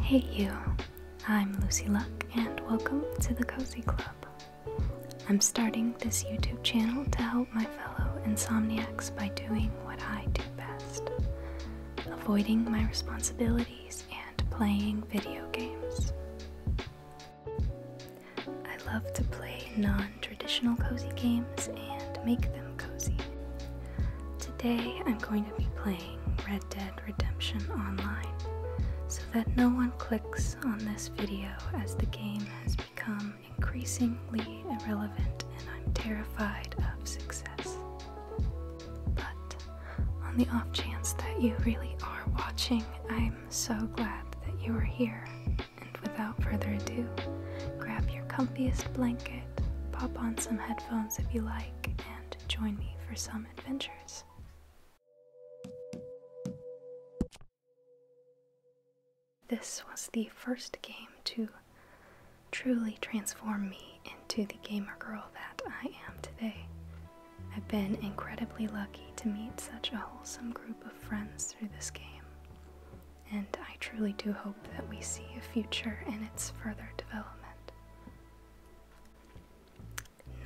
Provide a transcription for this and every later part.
Hey you, I'm Lucy Luck and welcome to the Cozy Club. I'm starting this YouTube channel to help my fellow insomniacs by doing what I do best, avoiding my responsibilities and playing video games. I love to play non traditional cozy games and make them cozy. Today I'm going to be playing Red Dead Redemption Online so that no one clicks on this video as the game has become increasingly irrelevant and I'm terrified of success. But on the off chance that you really are watching, I am I'm so glad that you are here. And without further ado, grab your comfiest blanket, pop on some headphones if you like, and join me for some adventures. This was the first game to truly transform me into the gamer girl that I am today. I've been incredibly lucky to meet such a wholesome group of friends through this game, and I truly do hope that we see a future in its further development.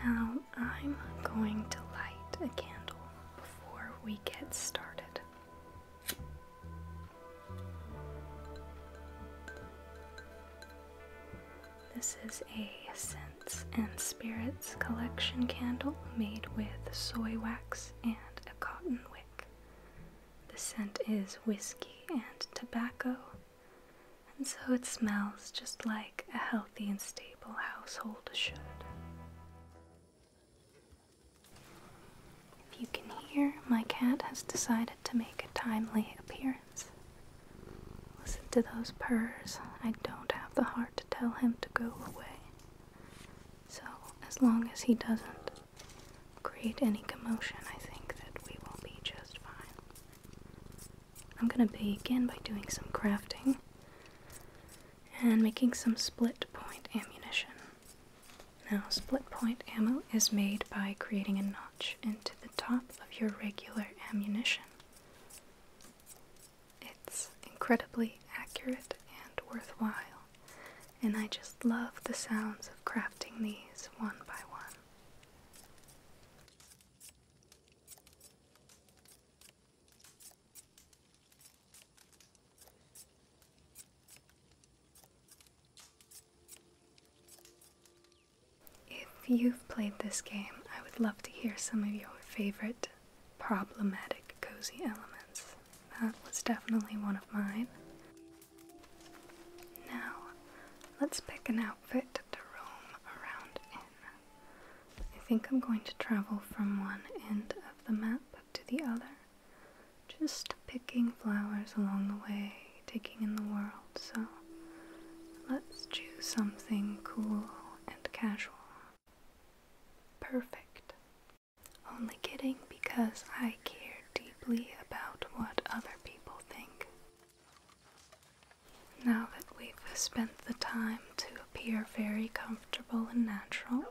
Now, I'm going to light a candle before we get started. This is a and Spirits collection candle made with soy wax and a cotton wick. The scent is whiskey and tobacco, and so it smells just like a healthy and stable household should. If you can hear, my cat has decided to make a timely appearance. Listen to those purrs. I don't have the heart to tell him to go away. So, as long as he doesn't create any commotion, I think that we will be just fine. I'm gonna begin by doing some crafting and making some split point ammunition. Now, split point ammo is made by creating a notch into the top of your regular ammunition. It's incredibly accurate and worthwhile, and I just love the sounds of crafting these one by one. If you've played this game, I would love to hear some of your favorite problematic cozy elements. That was definitely one of mine. Now, let's pick an outfit to roam around in. I think I'm going to travel from one end of the map to the other, just picking flowers along the way, taking in the world. So, let's choose something cool and casual perfect. Only kidding because I care deeply about what other people think. Now that we've spent the time to appear very comfortable and natural,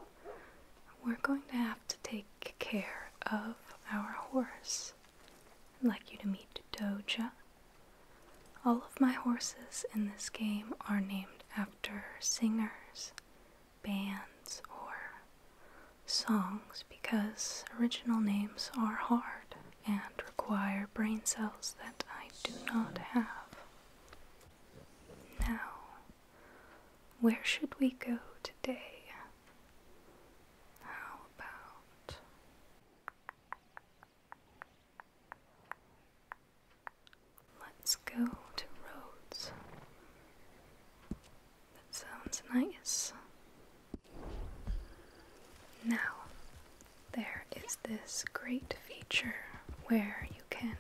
we're going to have to take care of our horse. I'd like you to meet Doja. All of my horses in this game are named after singers, bands, or songs because original names are hard and require brain cells that I do not have. Now, where should we go today? How about Let's go to Rhodes. That sounds nice. Now, there is this great feature where you can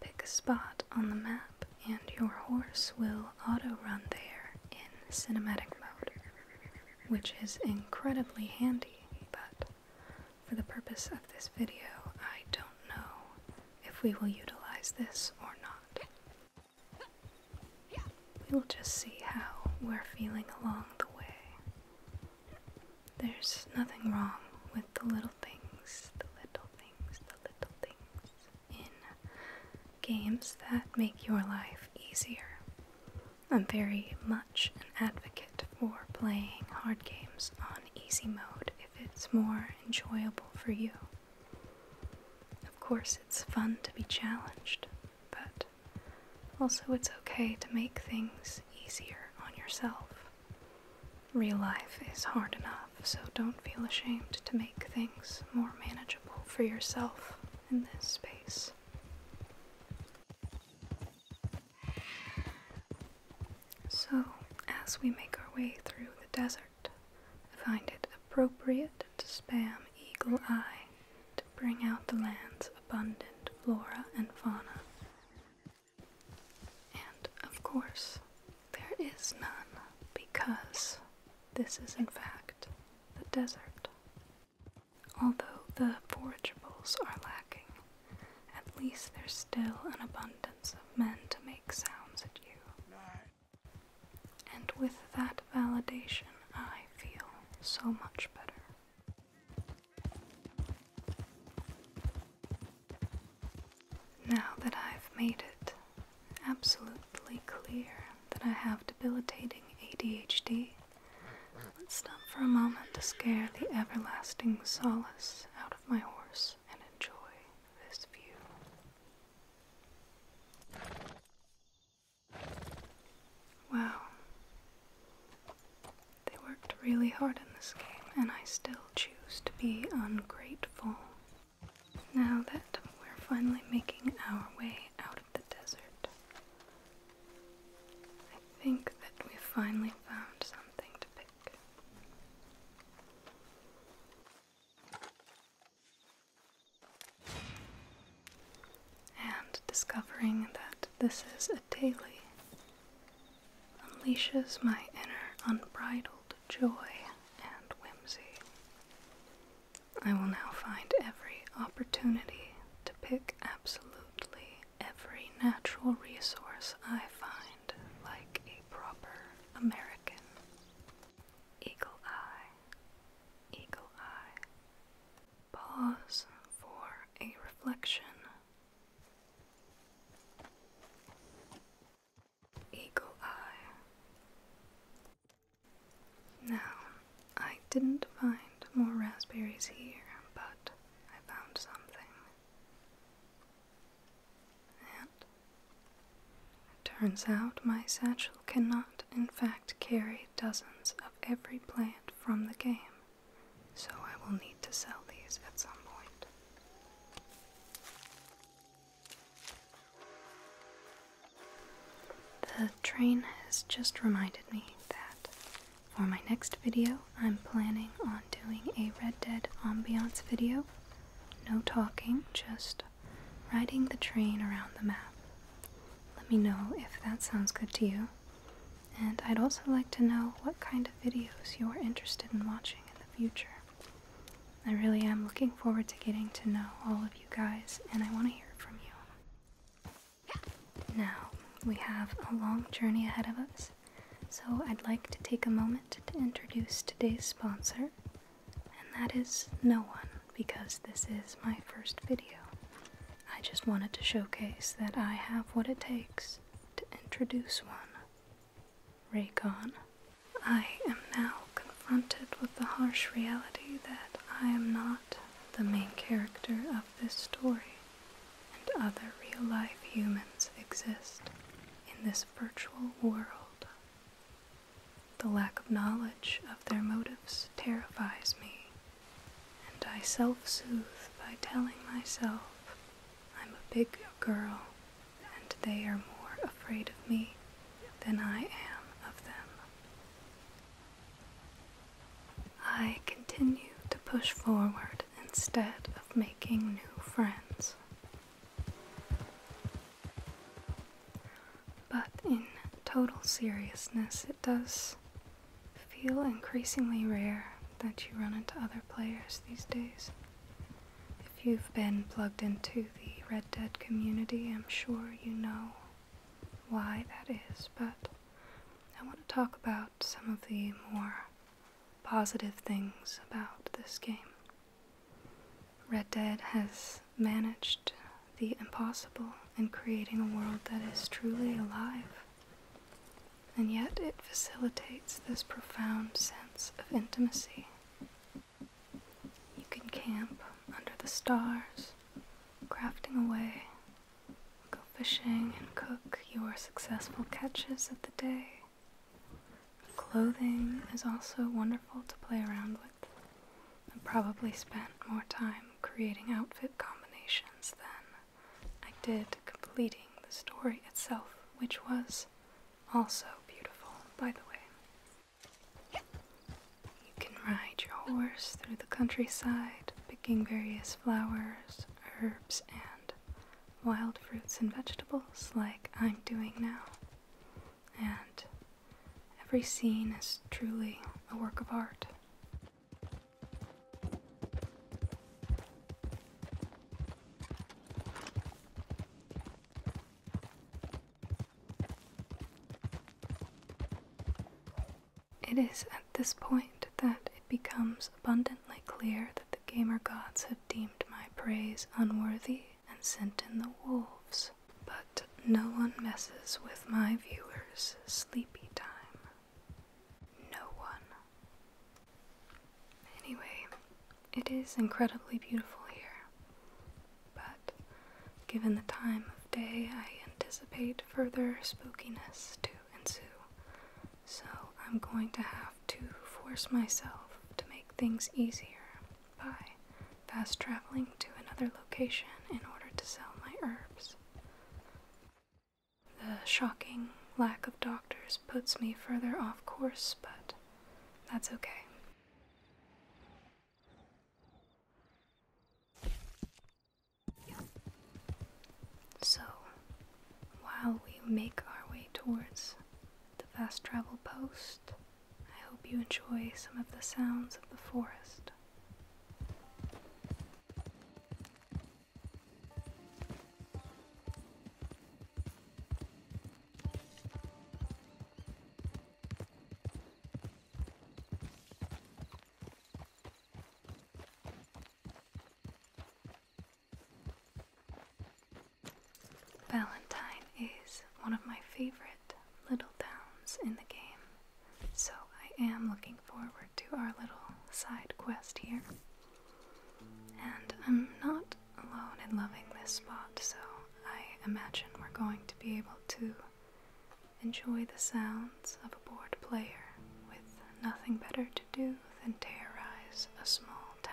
pick a spot on the map and your horse will auto run there in cinematic mode, which is incredibly handy, but for the purpose of this video, I don't know if we will utilize this or not. We will just see how we're feeling along the way. There's nothing wrong with the little things, the little things, the little things in games that make your life easier. I'm very much an advocate it for playing hard games on easy mode if it's more enjoyable for you. Of course, it's fun to be challenged, but also it's okay to make things easier on yourself. Real life is hard enough, so don't feel ashamed to make things more manageable for yourself in this space. So, as we make our way through the desert, I find it appropriate to spam Eagle Eye to bring out the land's abundant flora and fauna. And, of course, there is none because this is, in fact, the desert. Although the forageables are lacking, at least there's still an abundance of men to make sounds at you. And with that validation, I feel so much better. Now that I've made it absolutely clear that I have debilitating ADHD Let's stop for a moment to scare the everlasting solace out of my horse and enjoy this view. Wow. They worked really hard in this game, and I still choose to be ungrateful. Now that we're finally making our way out of the desert, I think that we finally found something to pick. And discovering that this is a daily unleashes my inner unbridled joy and whimsy. I will now find every opportunity to pick absolutely every natural resource I find like a proper American. Eagle Eye, Eagle Eye. Pause for a reflection. Eagle Eye. Now, I didn't find more raspberries here, but I found something it turns out my satchel cannot, in fact, carry dozens of every plant from the game, so I will need to sell these at some point. The train has just reminded me that for my next video, I'm planning on doing a Red Dead ambiance video. No talking, just riding the train around the map. Let me know if that sounds good to you. And I'd also like to know what kind of videos you're interested in watching in the future. I really am looking forward to getting to know all of you guys, and I want to hear from you. Now, we have a long journey ahead of us, so, I'd like to take a moment to introduce today's sponsor, and that is no one, because this is my first video. I just wanted to showcase that I have what it takes to introduce one. Raycon. I am now confronted with the harsh reality that I am not the main character of this story and other real life humans exist in this virtual world. The lack of knowledge of their motives terrifies me, and I self sooth by telling myself I'm a big girl and they are more afraid of me than I am of them. I continue to push forward instead of making new friends. But in total seriousness, it does feel increasingly rare that you run into other players these days. If you've been plugged into the Red Dead community, I'm sure you know why that is, but I want to talk about some of the more positive things about this game. Red Dead has managed the impossible in creating a world that is truly alive, and yet it facilitates this profound sense of intimacy. You can camp under the stars, crafting away Go fishing and cook your successful catches of the day. Clothing is also wonderful to play around with. I probably spent more time creating outfit combinations than I did completing the story itself, which was also beautiful, by the way. You can ride your horse through the countryside various flowers, herbs, and wild fruits and vegetables like I'm doing now. And every scene is truly a work of art. It is at this point that it becomes abundantly clear that the gamer gods have deemed my praise unworthy and sent in the wolves. But no one messes with my viewers' sleepy time. No one. Anyway, it is incredibly beautiful here. But given the time of day, I anticipate further spookiness too ensue. So I'm going to have to force myself to make things easier by fast traveling to another location in order to sell my herbs. The shocking lack of doctors puts me further off course, but that's okay. So, while we make our way towards the fast travel post, I hope you enjoy some of the sounds of the forest. Valentine is one of my favorite little towns in the game, so I am looking forward to our little side quest here. And I'm not alone in loving this spot, so I imagine we're going to be able to enjoy the sounds of a bored player with nothing better to do do than terrorize a small town.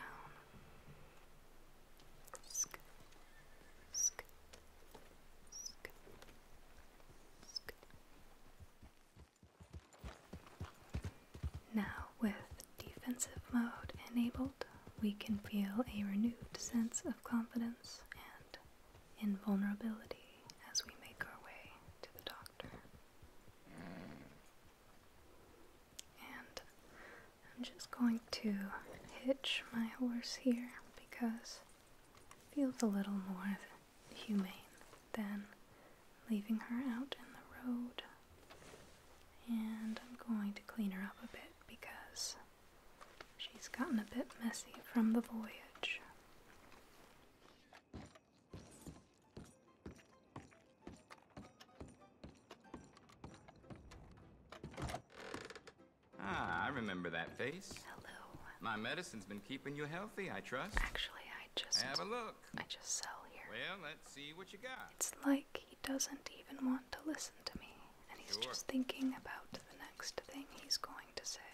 Now, with defensive mode enabled, we can feel a renewed sense of confidence and invulnerability as we make our way to the doctor. And I'm just going to hitch my horse here because it feels a little more humane than leaving her out in the road. And I'm going to clean her up a bit because she's gotten a bit messy from the voyage. Ah, I remember that face. Hello. My medicine's been keeping you healthy, I trust. Actually, I just... Have a look. I just saw here. Well, let's see what you got. It's like he doesn't even want to listen to me. And he's just thinking about the next thing he's going to say.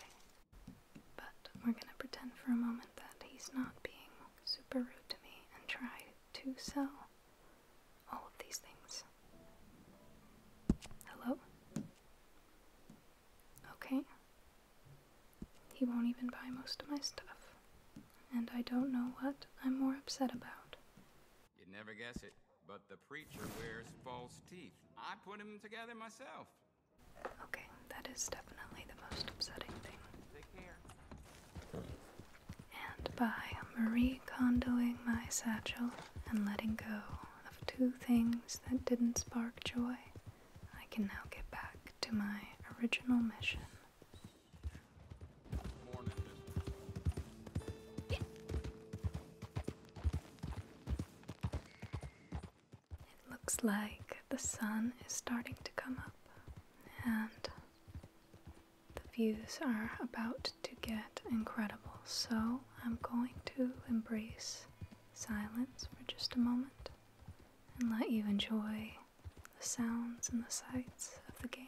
But we're gonna pretend for a moment that he's not being super rude to me and try to sell all of these things. Hello? Okay. He won't even buy most of my stuff. And I don't know what I'm more upset about. You'd never guess it, but the preacher wears false teeth. I put them together myself. Okay, that is definitely the most upsetting thing. And by Marie condoing my satchel and letting go of two things that didn't spark joy, I can now get back to my original mission. It looks like the sun is starting to come up and the views are about to get incredible. So I'm going to embrace silence for just a moment and let you enjoy the sounds and the sights of the game.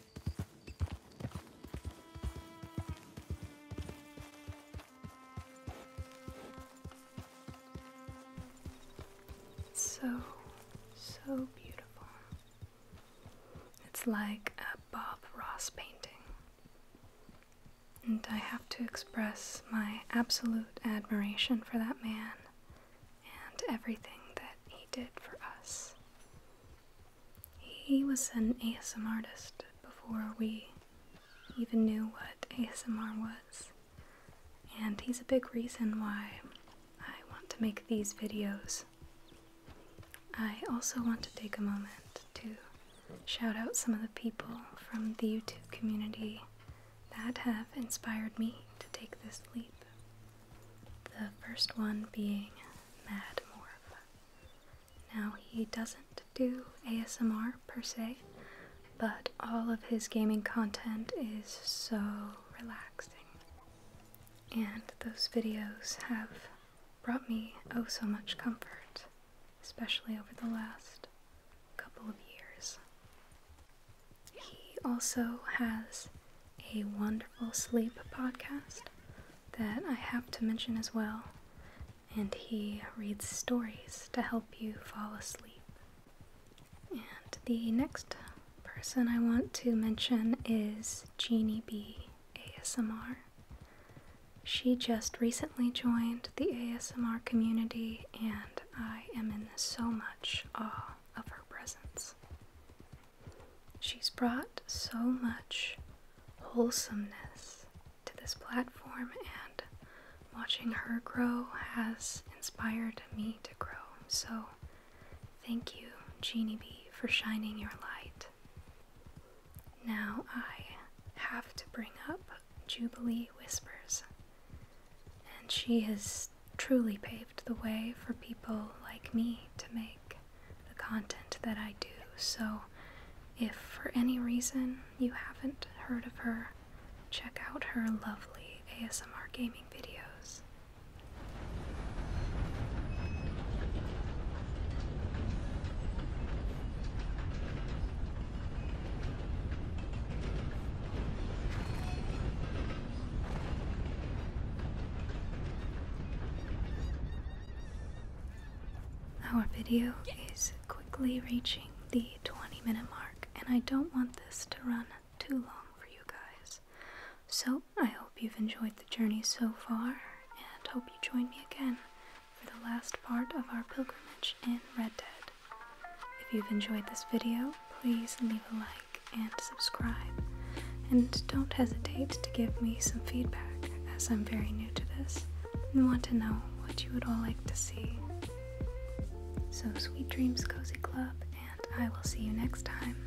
So, so beautiful. It's like a Bob Ross painting. And I have to express my absolute admiration for that man and everything that he did for us. He was an ASMR artist before we even knew what ASMR was, and he's a big reason why I want to make these videos. I also want to take a moment to shout out some of the people from the YouTube community that have inspired me to take this leap. The first one being Mad Morph. Now, he doesn't do ASMR per se, but all of his gaming content is so relaxing. And those videos have brought me oh so much comfort, especially over the last couple of years. He also has a wonderful sleep podcast that I have to mention as well, and he reads stories to help you fall asleep. And the next person I want to mention is Jeannie B. ASMR. She just recently joined the ASMR community, and I am in so much awe of her presence. She's brought so much wholesomeness to this platform, and watching her grow has inspired me to grow. So, thank you, Genie Bee, for shining your light. Now I have to bring up Jubilee Whispers, and she is truly paved the way for people like me to make the content that I do. So if for any reason you haven't heard of her, check out her lovely ASMR gaming videos. Our video is quickly reaching the 20 minute mark, and I don't want this to run too long for you guys. So, I hope you've enjoyed the journey so far, and hope you join me again for the last part of our pilgrimage in Red Dead. If you've enjoyed this video, please leave a like and subscribe. And don't hesitate to give me some feedback, as I'm very new to this and want to know what you would all like to see. So, sweet dreams, Cozy Club, and I will see you next time.